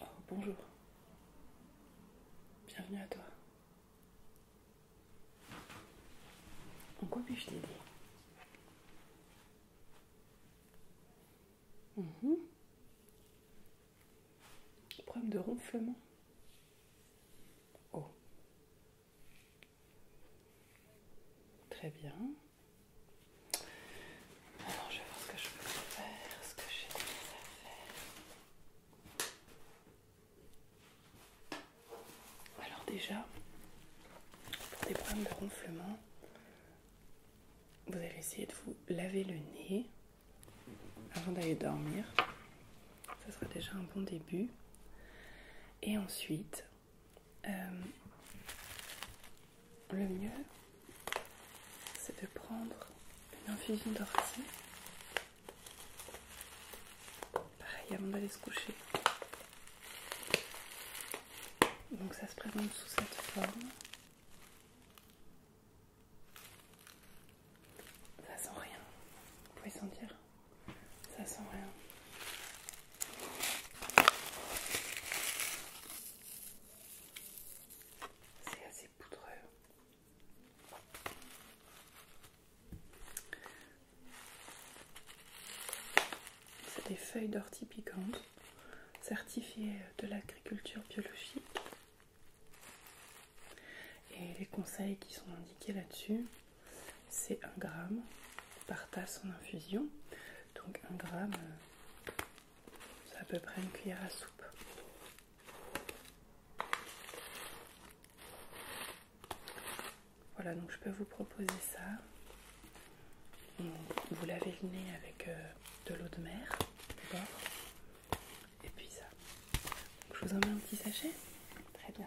Oh, bonjour. Bienvenue à toi. En quoi puis-je t'aider mhm. Problème de ronflement. Oh, Très bien. Alors, je vais voir ce que je peux faire, ce que j'ai à faire. Alors déjà, pour des problèmes de ronflement, vous allez essayer de vous laver le nez avant d'aller dormir. Ça sera déjà un bon début. Et ensuite, euh, le mieux, c'est de prendre une infusion d'oracine, Pareil, avant d'aller se coucher. Donc ça se présente sous cette forme. Ça sent rien. Vous pouvez sentir ça sent rien. C'est assez poudreux. C'est des feuilles d'ortie piquante certifiées de l'agriculture biologique. Et les conseils qui sont indiqués là-dessus, c'est un gramme par tasse en infusion. Donc un gramme, euh, c'est à peu près une cuillère à soupe. Voilà, donc je peux vous proposer ça. Vous lavez le nez avec euh, de l'eau de mer, d'accord Et puis ça. je vous en mets un petit sachet Très bien.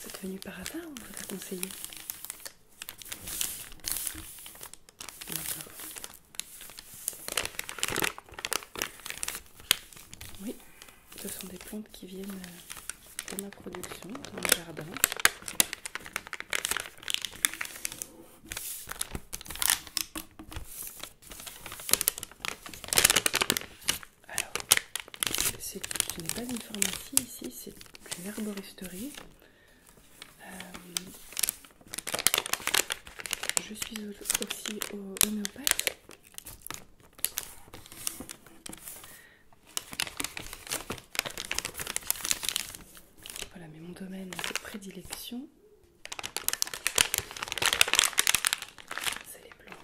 C'est venu par hasard ou vous a conseillé Oui, ce sont des plantes qui viennent de euh, ma production, dans le jardin. Alors, ce n'est pas une pharmacie ici, c'est une herboristerie. Euh, je suis aussi homéopathe voilà, mais mon domaine de prédilection, c'est les blancs.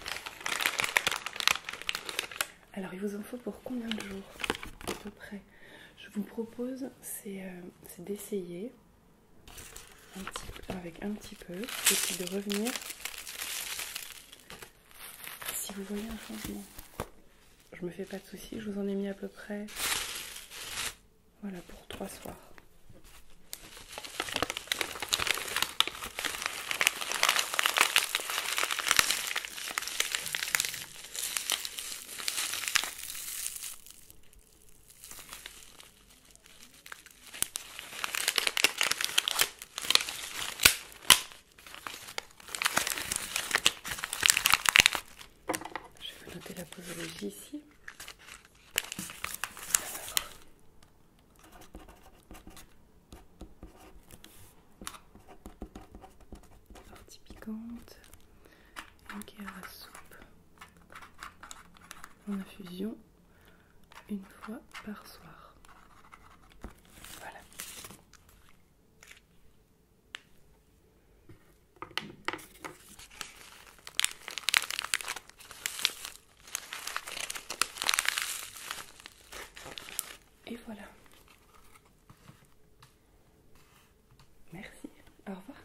Alors, il vous en faut pour combien de jours à peu près Je vous propose, c'est euh, d'essayer avec un petit peu et puis de revenir si vous voyez un changement. Je me fais pas de soucis, je vous en ai mis à peu près voilà pour trois soirs. Je vais noter la posologie ici. Partie piquante, ok à soupe en infusion une fois par soir. Voilà. Et voilà. Merci. Au revoir.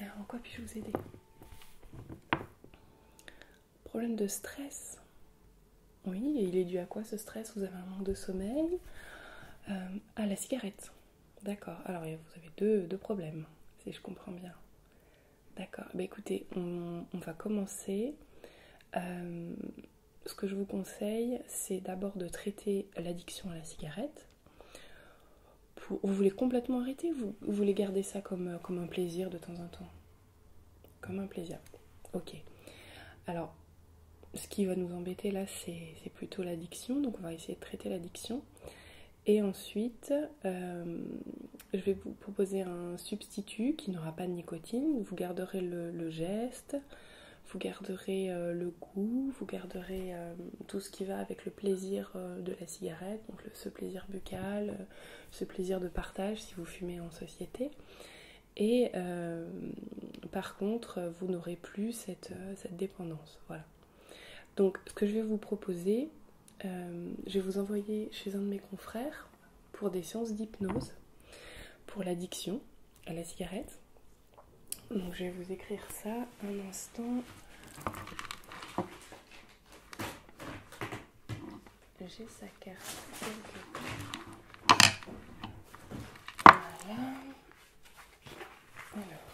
Alors, en quoi puis-je vous aider Problème de stress oui, il est dû à quoi ce stress Vous avez un manque de sommeil euh, À la cigarette. D'accord. Alors, vous avez deux, problèmes, si je comprends bien. D'accord. Bah écoutez, on, va commencer. Euh, ce que je vous conseille, c'est d'abord de traiter l'addiction à la cigarette. vous voulez complètement arrêter vous, vous voulez garder ça comme un plaisir de temps en temps comme un plaisir. Ok. Alors, ce qui va nous embêter là, c'est plutôt l'addiction. Donc, on va essayer de traiter l'addiction. Et ensuite, euh, je vais vous proposer un substitut qui n'aura pas de nicotine. Vous garderez le, geste, vous garderez euh, le goût, vous garderez euh, tout ce qui va avec le plaisir de la cigarette, donc ce plaisir buccal, ce plaisir de partage si vous fumez en société. Et euh, par contre, vous n'aurez plus cette, euh, cette, dépendance. Voilà. Donc, ce que je vais vous proposer, euh, je vais vous envoyer chez un de mes confrères pour des sciences d'hypnose, pour l'addiction à la cigarette. Donc, je vais vous écrire ça un instant j'ai sa carte Voilà. Alors,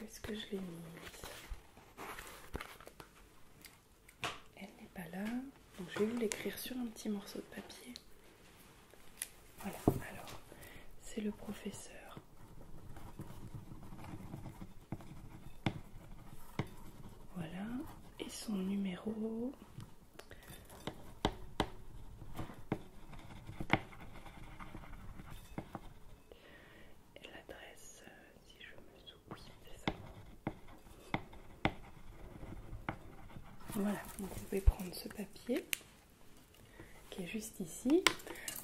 où est-ce que je l'ai mise Elle n'est pas là. Donc je vais l'écrire sur un petit morceau de papier. Voilà, alors, c'est le professeur. Voilà, et son numéro et l'adresse, euh, si je me souviens, c'est ça. Voilà, vous pouvez prendre ce papier qui est juste ici.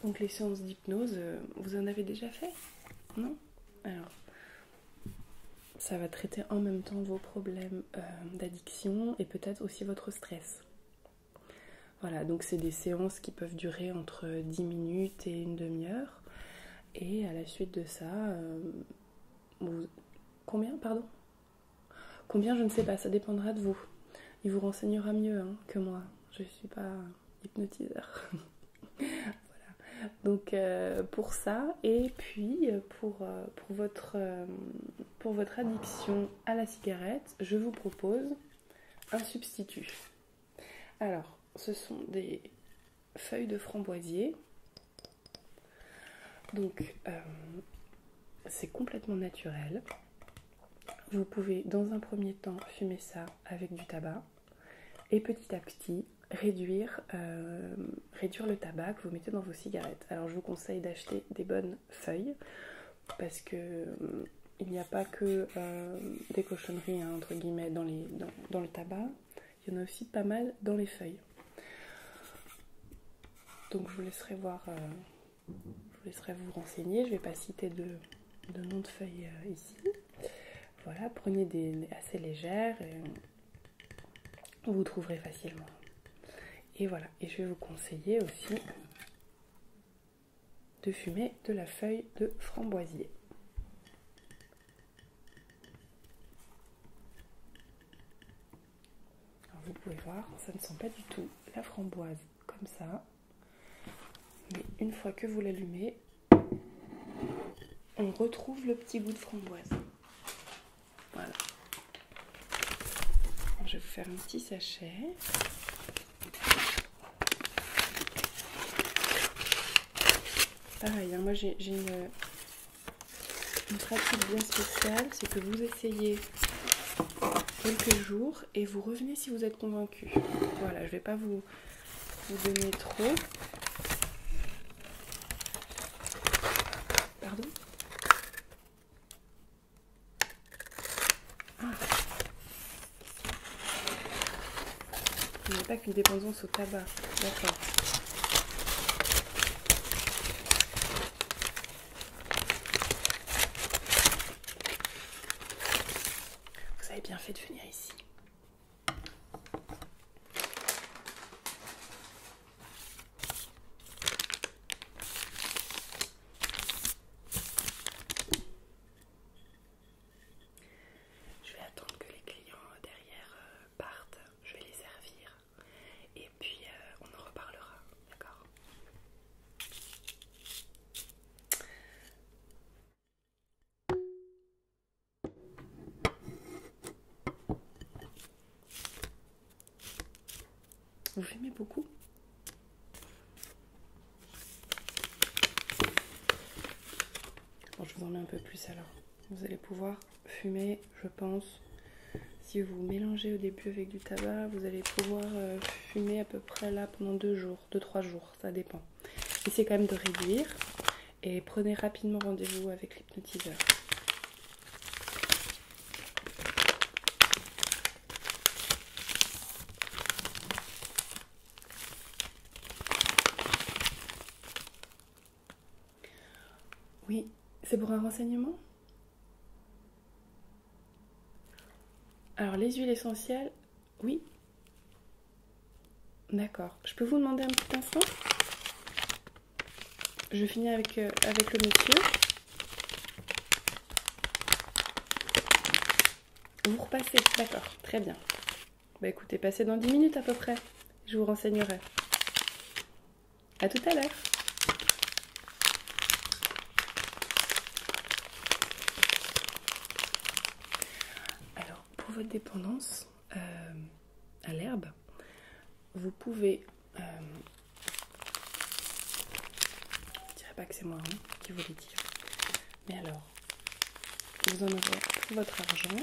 Donc les séances d'hypnose, euh, vous en avez déjà fait Non Alors, ça va traiter en même temps vos problèmes euh, d'addiction et peut-être aussi votre stress. Voilà, donc c'est des séances qui peuvent durer entre 10 minutes et une demi-heure. Et à la suite de ça, euh, combien, pardon Combien, je ne sais pas, ça dépendra de vous. Il vous renseignera mieux hein, que moi. Je ne suis pas hypnotiseur. voilà. Donc euh, pour ça et puis euh, pour, euh, pour, votre, pour votre addiction à la cigarette, je vous propose un substitut. Alors, ce sont des feuilles de framboisier. Donc c'est complètement naturel. Vous pouvez dans un premier temps fumer ça avec du tabac et petit à petit euh, réduire, le tabac que vous mettez dans vos cigarettes. Alors je vous conseille d'acheter des bonnes feuilles parce que euh, il n'y a pas que euh, des cochonneries hein, entre guillemets dans, le tabac, il y en a aussi pas mal dans les feuilles. Donc je vous laisserai voir, je vous laisserai vous renseigner. Je ne vais pas citer de, nom de feuilles ici. Voilà, prenez des assez légères et vous trouverez facilement. Et voilà, et je vais vous conseiller aussi de fumer de la feuille de framboisier. vous pouvez voir, ça ne sent pas du tout la framboise comme ça. Mais une fois que vous l'allumez, on retrouve le petit goût de framboise. Voilà. Je vais vous faire un petit sachet. Pareil, hein, moi j'ai une, pratique bien spéciale, c'est que vous essayez quelques jours et vous revenez si vous êtes convaincu. Voilà, je vais pas vous vous donnez trop. Pardon ah. Il n'y a pas qu'une dépendance au tabac. D'accord. Vous avez bien fait de venir ici. Je vais attendre que les clients derrière euh, partent, je vais les servir et puis euh, on en reparlera, d'accord vous fumez beaucoup Je vous en mets un peu plus alors. Vous allez pouvoir fumer, je pense. Si vous mélangez au début avec du tabac, vous allez pouvoir euh, fumer à peu près là pendant deux jours, deux trois jours ça dépend. Essayez quand même de réduire et prenez rapidement rendez-vous avec l'hypnotiseur. Oui, c'est pour un renseignement Alors les huiles essentielles, oui. D'accord. Je peux vous demander un petit instant Je finis avec, euh, avec le métier. Vous repassez, d'accord, très bien. Bah écoutez, passez dans 10 minutes à peu près. Je vous renseignerai. À tout à l'heure. Alors, pour votre dépendance euh, à l'herbe, vous pouvez. Euh, je ne dirais pas que c'est moi hein, qui vous le dire. Mais alors, vous en aurez pour votre argent.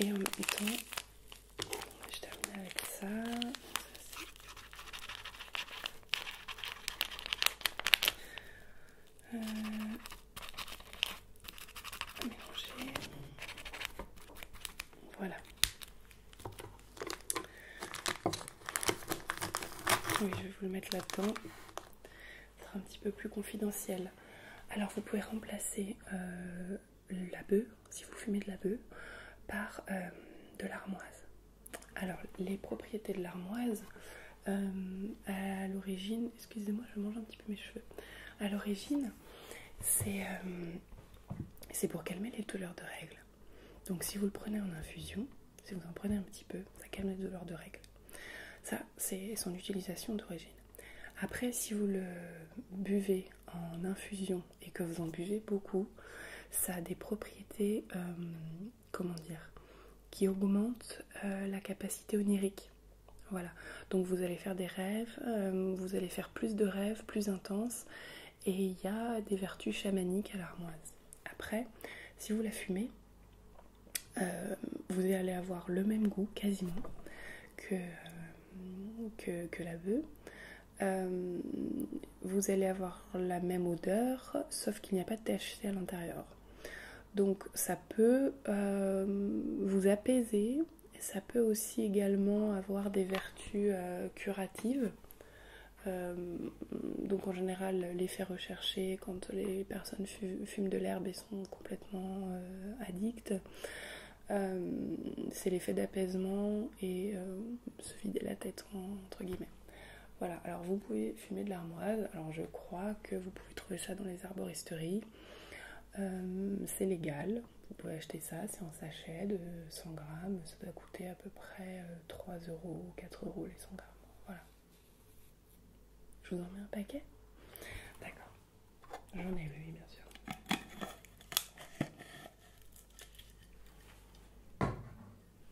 Et en même temps, je termine avec ça euh, mélanger. Voilà. Oui, je vais vous le mettre là-dedans. Ce sera un petit peu plus confidentiel. Alors, vous pouvez remplacer euh, la bœuf, si vous fumez de la bœuf, par euh, de l'armoise. Alors, les propriétés de l'armoise, euh, à l'origine, excusez-moi, je mange un petit peu mes cheveux. À l'origine, euh, c'est pour calmer les douleurs de règles. Donc, si vous le prenez en infusion, si vous en prenez un petit peu, ça calme les douleurs de règles. Ça, c'est son utilisation d'origine. Après, si vous le buvez en infusion et que vous en buvez beaucoup, ça a des propriétés euh, comment dire, qui augmente euh, la capacité onirique. Voilà, donc vous allez faire des rêves, euh, vous allez faire plus de rêves, plus intenses, et il y a des vertus chamaniques à l'armoise. Après, si vous la fumez, euh, vous allez avoir le même goût quasiment que, que, la bœuf vous allez avoir la même odeur, sauf qu'il n'y a pas de THC à l'intérieur. Donc ça peut euh, vous apaiser, ça peut aussi également avoir des vertus euh, curatives. Euh, donc en général, l'effet recherché quand les personnes fument de l'herbe et sont complètement addictes, c'est l'effet d'apaisement et se vider la tête entre guillemets. Voilà, alors vous pouvez fumer de l'armoise, alors je crois que vous pouvez trouver ça dans les arboristeries, euh, c'est légal, vous pouvez acheter ça, c'est en sachet de 100 grammes, ça doit coûter à peu près 3 euh, euros, 4 euros les 100 grammes, voilà. Je vous en mets un paquet D'accord, j'en ai oui bien sûr.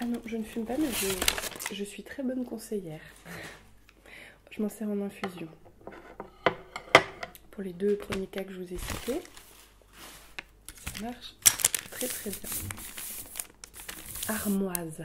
Ah non, je ne fume pas, mais je, suis très bonne conseillère. Je m'en sers en infusion. Pour les deux premiers cas que je vous ai cités marche très très bien. Armoise.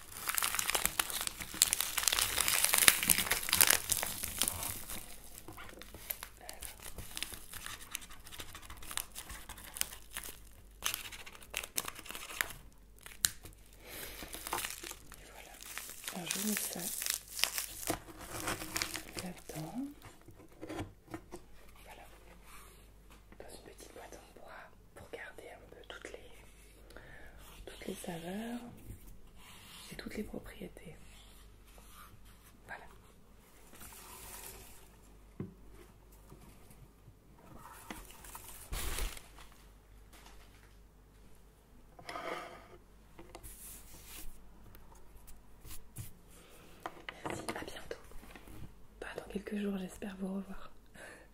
voilà. Alors je mets ça là-dedans. Voilà. Dans une petite boîte en bois pour garder un peu toutes les, toutes les saveurs et toutes les propriétés. Voilà. Merci, à bientôt. Pas dans quelques jours, j'espère vous revoir.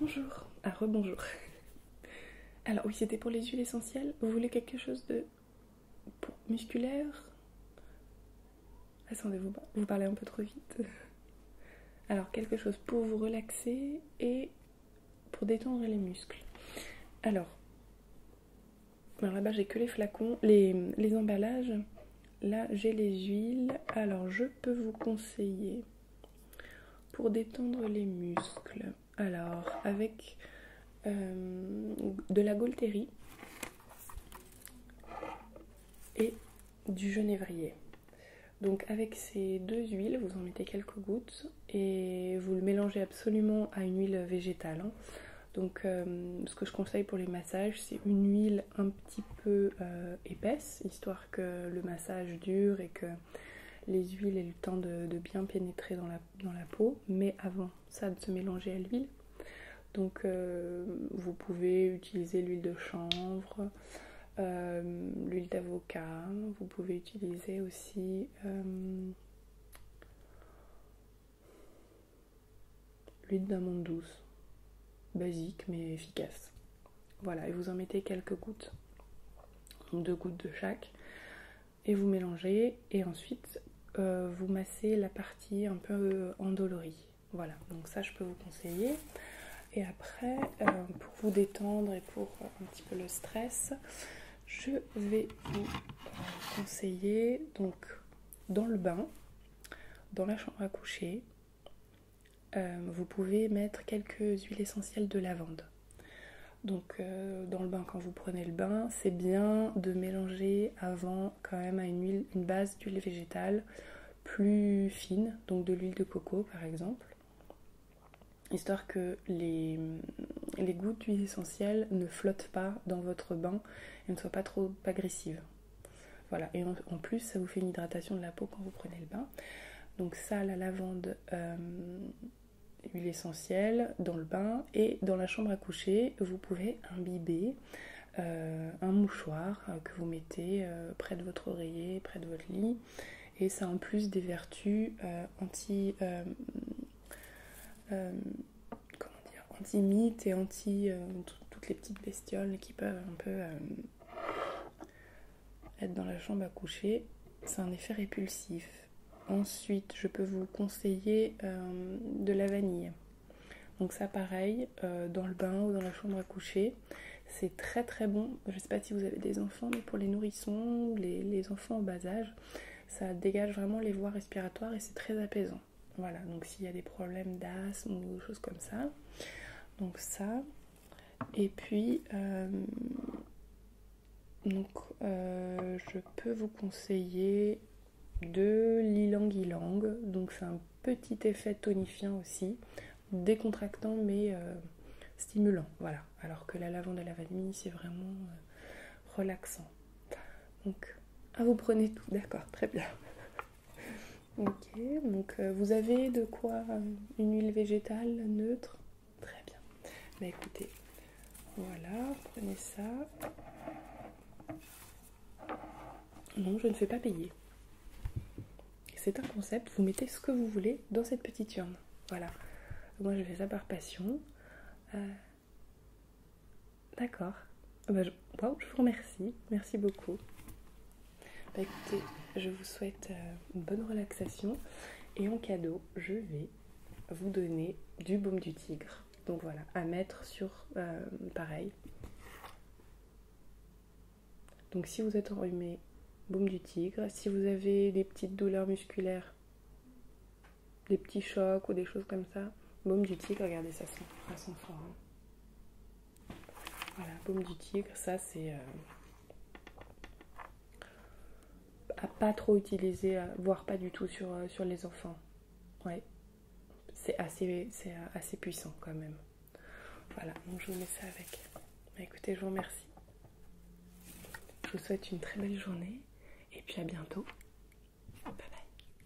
Bonjour. Ah, rebonjour. Alors, oui, c'était pour les huiles essentielles. Vous voulez quelque chose de musculaire Attendez, vous, bah, vous parlez un peu trop vite. Alors, quelque chose pour vous relaxer et pour détendre les muscles. Alors, là-bas, j'ai que les flacons, les emballages. Là, j'ai les huiles. Alors, je peux vous conseiller pour détendre les muscles. Alors, avec euh, de la Golterie et du genévrier. Donc avec ces deux huiles, vous en mettez quelques gouttes et vous le mélangez absolument à une huile végétale. Hein. Donc euh, ce que je conseille pour les massages, c'est une huile un petit peu euh, épaisse, histoire que le massage dure et que les huiles aient le temps de, bien pénétrer dans la, dans la peau, mais avant ça de se mélanger à l'huile. Donc euh, vous pouvez utiliser l'huile de chanvre, euh, l'huile d'avocat, vous pouvez utiliser aussi... Euh, l'huile d'amande douce. Basique mais efficace. Voilà, et vous en mettez quelques gouttes, deux gouttes de chaque, et vous mélangez, et ensuite euh, vous massez la partie un peu euh, endolorie. Voilà, donc ça je peux vous conseiller. Et après, euh, pour vous détendre et pour un petit peu le stress, je vais vous conseiller donc dans le bain, dans la chambre à coucher, euh, vous pouvez mettre quelques huiles essentielles de lavande. Donc euh, dans le bain, quand vous prenez le bain, c'est bien de mélanger avant quand même à une, huile, une base d'huile végétale plus fine, donc de l'huile de coco par exemple, histoire que les, les gouttes d'huile essentielle ne flottent pas dans votre bain et ne soient pas trop agressives. Voilà, et en, plus, ça vous fait une hydratation de la peau quand vous prenez le bain. Donc, ça, la lavande, l'huile euh, essentielle dans le bain et dans la chambre à coucher, vous pouvez imbiber euh, un mouchoir que vous mettez euh, près de votre oreiller, près de votre lit. Et ça a en plus des vertus anti anti-mythe et anti toutes les petites bestioles qui peuvent un peu euh, être dans la chambre à coucher. C'est un effet répulsif. Ensuite, je peux vous conseiller euh, de la vanille. Donc ça pareil, euh, dans le bain ou dans la chambre à coucher, c'est très très bon. Je ne sais pas si vous avez des enfants, mais pour les nourrissons, les, les enfants au bas âge, ça dégage vraiment les voies respiratoires et c'est très apaisant. Voilà, donc s'il y a des problèmes d'asthme ou des choses comme ça. Donc ça. Et puis, euh, donc, euh, je peux vous conseiller de l'ilang-ilang. Donc c'est un petit effet tonifiant aussi, décontractant mais euh, stimulant. Voilà, alors que la lavande de la vanille, c'est vraiment relaxant. Donc, ah, vous prenez tout, d'accord, très bien. Ok, donc euh, vous avez de quoi euh, une huile végétale neutre Très bien. Bah écoutez, voilà, prenez ça. Non, je ne fais pas payer. C'est un concept, vous mettez ce que vous voulez dans cette petite urne. Voilà. Moi je fais ça par passion. Euh, D'accord. Bah, je... vous remercie. Merci beaucoup. Bah, je vous souhaite euh, une bonne relaxation. Et en cadeau, je vais vous donner du baume du tigre. Donc voilà, à mettre sur euh, pareil. Donc si vous êtes enrhumé, baume du tigre. Si vous avez des petites douleurs musculaires, des petits chocs ou des choses comme ça, baume du tigre, regardez, ça ça sent hein. Voilà, paume du tigre, ça c'est euh, à pas trop utiliser, euh, voire pas du tout sur, euh, les enfants. Ouais, c'est assez, puissant quand même. Voilà, donc je vous mets ça avec. Bah, écoutez, je vous remercie. Je vous souhaite une très belle journée et puis à bientôt. Bye bye.